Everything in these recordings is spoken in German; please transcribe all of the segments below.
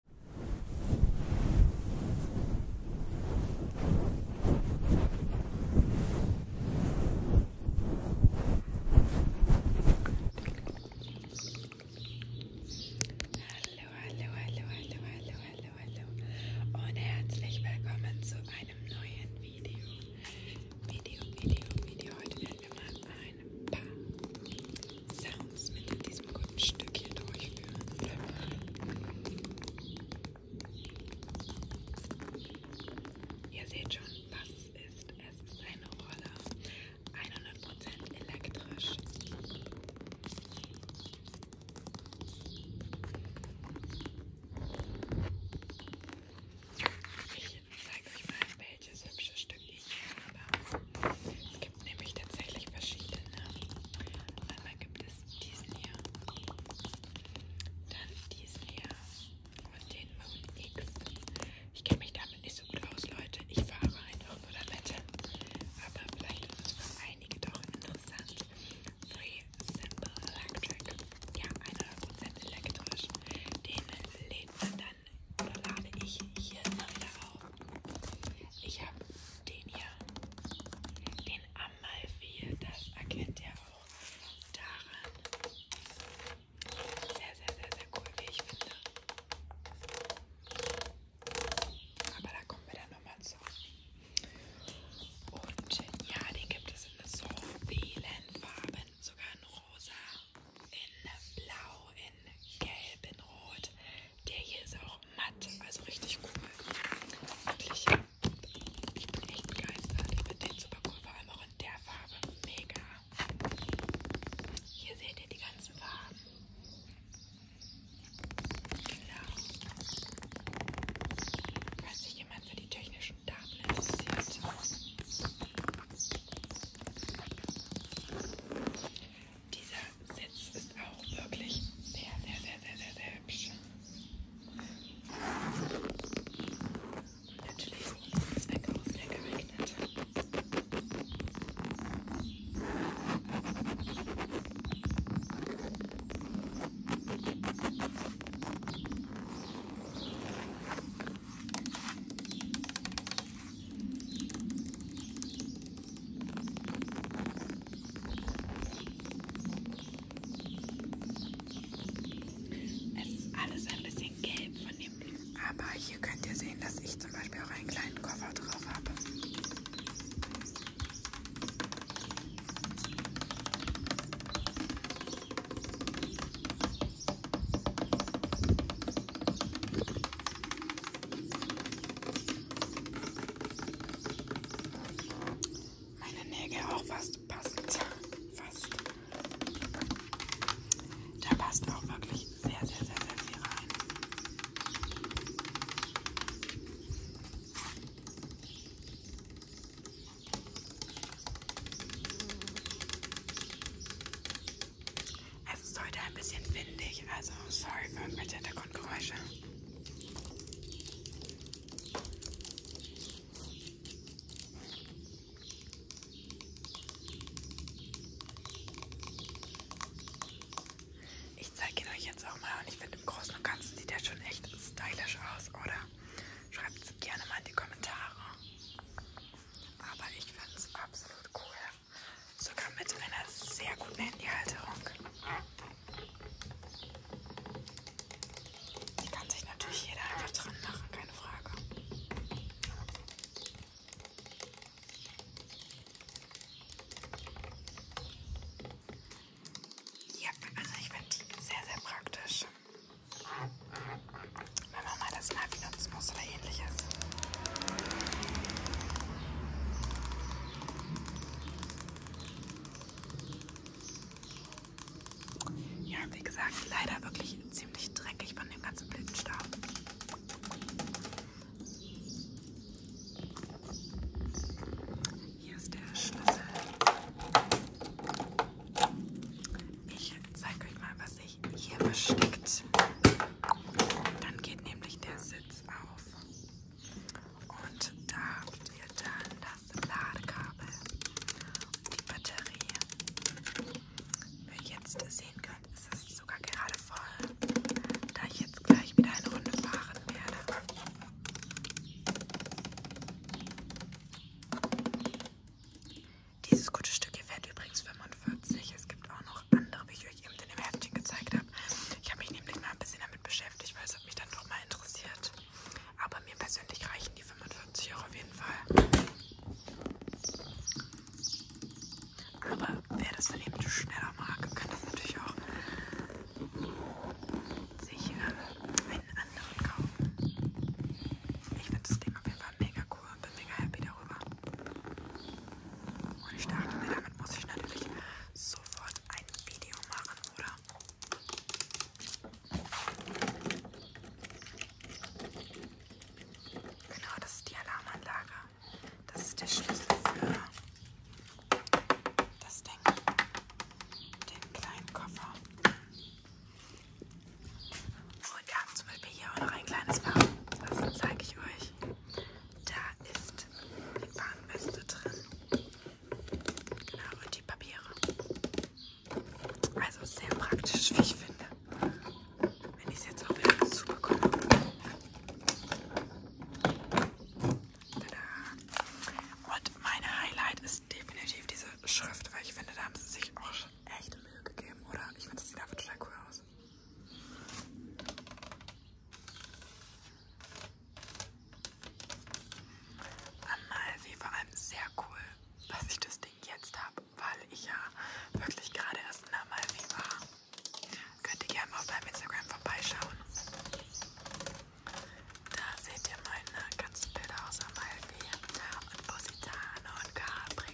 hallo, hallo, hallo, hallo, hallo, hallo und herzlich willkommen zu einem neuen Video. Video, Video, Video. Heute werden wir mal ein paar Sounds mit diesem guten Stück hier durchführen. Ihr seht schon, was es ist. Es ist eine Roller. 100% elektrisch. Ich zeige euch mal, welches hübsche Stück ich hier habe. Es gibt gibt nämlich tatsächlich verschiedene. Einmal gibt es diesen hier, dann diesen hier und den Moon X. Ich kenne mich damit nicht so gut aus, Leute. Ich fahre einfach nur damit. Aber vielleicht ist es für einige doch interessant. Free Simple Electric. Ja, 100% elektrisch. Den lädt man dann oder lade ich hier immer wieder auf. Ich habe den hier, den Amalfi, das erkennt ihr auch daran. Sehr, sehr, sehr, sehr cool, wie ich finde. Aber da kommen wir dann nochmal zu. Und ja, den gibt es in so vielen Farben, sogar in rosa, in blau, in in Gelb, in Rot. Der hier ist auch matt, also richtig cool. Wirklich, ich bin echt begeistert. Ich finde den super cool, vor allem auch in der Farbe. Mega. Hier seht ihr die ganzen Farben. Genau. Falls sich jemand für die technischen Daten interessiert. Dieser Sitz ist auch wirklich sehr, sehr, sehr, sehr, sehr, sehr hübsch. Und natürlich für unseren Zweck auch sehr geeignet. Es ist alles ein bisschen gelb von dem Blumen. Aber hier könnt ihr sehen, dass ich zum Beispiel auch einen kleinen Koffer drauf habe. Meine Nägel auch fast passend. Fast. Da passt auch wirklich sehr, sehr, sehr, sehr viel rein. Es ist heute ein bisschen windig, also sorry für irgendwelche Hintergrundgeräusche. Ich zeige ihn euch jetzt auch mal und ich finde im Großen und Ganzen sieht er schon echt stylisch aus, oder? Schreibt es gerne mal in die Kommentare. Aber ich finde es absolut cool. Sogar mit einer sehr guten Handyhalterung. Die kann sich natürlich jeder einfach dran machen, keine Frage. Ja, also ich finde die sehr, sehr praktisch. Wenn man mal das Navi nutzen muss oder ähnliches. Ja, wie gesagt, leider wirklich ziemlich dreckig von dem ganzen Blütenstaub. Hier ist der Schlüssel. Ich zeige euch mal, was sich hier versteckt. Dann geht nämlich der Sitz auf. Und da habt ihr dann das Ladekabel und die Batterie. Wie ihr jetzt sehen könnt, ist es sogar gerade voll, da ich jetzt gleich wieder eine Runde fahren werde. Dieses gute Stück hier fährt übrigens 45. Es gibt auch noch andere Bücher, ich eben in dem Herzchen gezeigt habe. Ich habe mich nämlich mal ein bisschen damit beschäftigt, weil es hat mich dann doch mal interessiert. Aber mir persönlich reichen die 45 Euro auf jeden Fall. Aber wer das dann eben schneller mag, kann das natürlich auch sich äh, einen anderen kaufen. Ich finde das Ding auf jeden Fall mega cool und bin mega happy darüber. Und ich dachte mir, damit muss ich natürlich sofort ein ein Video machen, oder? Genau, das ist die Alarmanlage. Das ist der Schlüssel für das Ding. Den kleinen Koffer. Und wir haben zum Beispiel hier auch noch ein kleines Fach. Das zeige ich euch. Da ist die Warnweste drin. Genau, und die Papiere. Also sehr praktisch, wie ich finde. Wenn ich es jetzt auch wieder dazu bekomme. Tada. Und mein Highlight ist definitiv diese Schrift, weil ich finde, da haben sie sich auch schon echt Mühe gegeben, oder? Ich finde, das sieht einfach total cool aus. Amalfi vor allem sehr cool, dass ich das Ding jetzt habe, weil ich ja wirklich gerade erst in Amalfi war. Könnt ihr gerne mal auf meinem Instagram vorbeischauen. Da seht ihr meine ganzen Bilder aus Amalfi und Positano und Capri.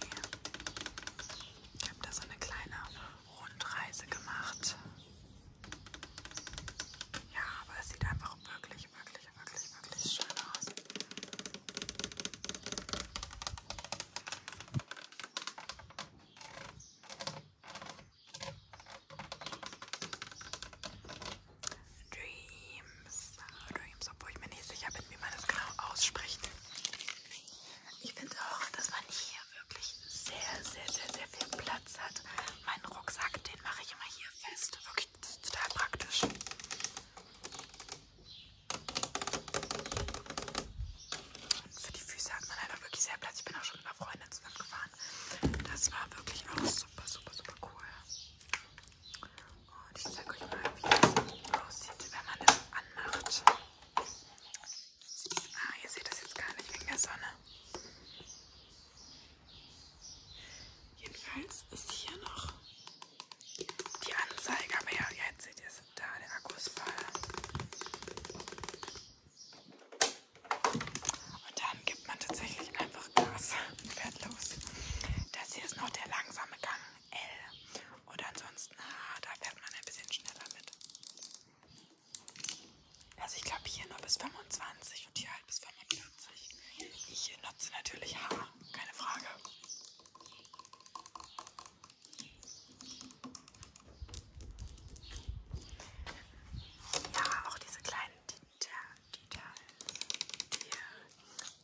Ich habe da so eine kleine Rundreise gemacht. Ja, aber es sieht einfach wirklich, wirklich, wirklich, wirklich schön aus. Dreams, ah, Dreams, obwohl ich mir nicht sicher bin, wie man das genau ausspricht. Ich finde auch, dass man hier hier wirklich sehr, sehr, sehr, sehr viel Platz hat. Mein Rucksack, den mache ich immer hier fest. Wirklich total praktisch. Und für die Füße hat man einfach wirklich sehr Platz. Ich bin auch schon mit einer Freundin zusammengefahren. Das war wirklich auch super, super, super cool. Und ich zeige euch mal, wie es aussieht, wenn man das anmacht. Ah, ihr seht das jetzt gar nicht wegen der Sonne. Jedenfalls ist hier noch die Anzeige, aber ja, jetzt seht ihr es da, der Akku ist voll. Und dann gibt man tatsächlich einfach Gas und fährt los. Das hier ist noch der langsame Gang L. Oder ansonsten, ah, da fährt man ein bisschen schneller mit. Also ich glaube hier nur bis 25 und hier halt bis 45. Ich nutze natürlich Haar, keine Frage. Ja, auch diese kleinen Details,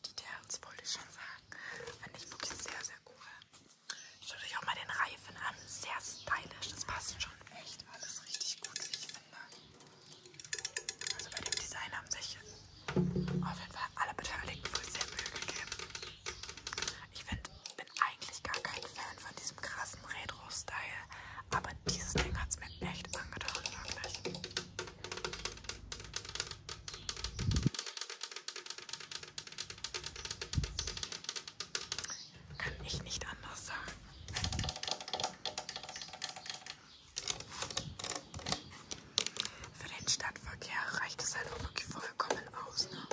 Details wollte ich schon sagen, fand ich wirklich sehr, sehr cool. Schaut euch auch mal den Reihe Streifen an. Sehr stylisch. Das passt schon echt alles richtig gut, wie ich finde. Also bei dem Design haben sich auf jeden Fall alle Beteiligten wohl sehr Mühe gegeben. Ich find, bin eigentlich gar kein Fan von diesem krassen Retro-Style, aber dieses Ding hat es mir echt angetan, wirklich. Kann ich nicht anders sagen. Für den Stadtverkehr reicht es halt auch wirklich vollkommen aus. Ne?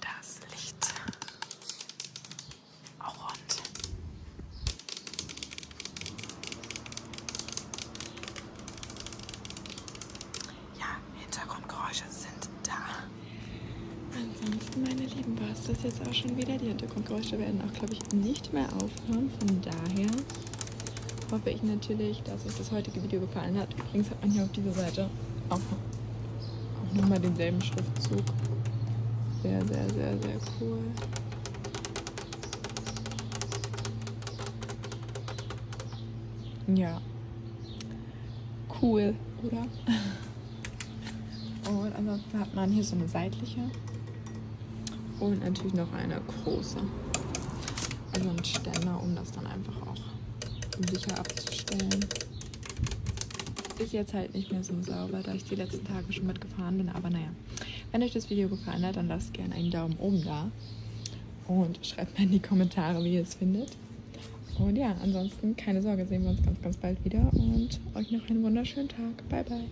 Das Licht auch rund. Ja, Hintergrundgeräusche sind da. Ansonsten, meine Lieben, war es das jetzt auch schon wieder. Die Hintergrundgeräusche werden auch, glaube ich, nicht mehr aufhören. Von daher hoffe ich natürlich, dass euch das heutige Video gefallen hat. Übrigens hat man hier auf dieser Seite auch noch auch nochmal denselben Schriftzug. Sehr, sehr, sehr, sehr cool. Ja. Cool, oder? Und ansonsten hat man hier so eine seitliche. Und natürlich noch eine große. Also ein Ständer, um das dann einfach auch sicher abzustellen. Ist jetzt halt nicht mehr so sauber, da ich die letzten Tage schon mitgefahren bin. Aber naja, wenn euch das Video gefallen hat, dann lasst gerne einen Daumen oben da. Und schreibt mal in die Kommentare, wie ihr es findet. Und ja, ansonsten keine Sorge, sehen wir uns ganz, ganz bald wieder. Und euch noch einen wunderschönen Tag. Bye, bye.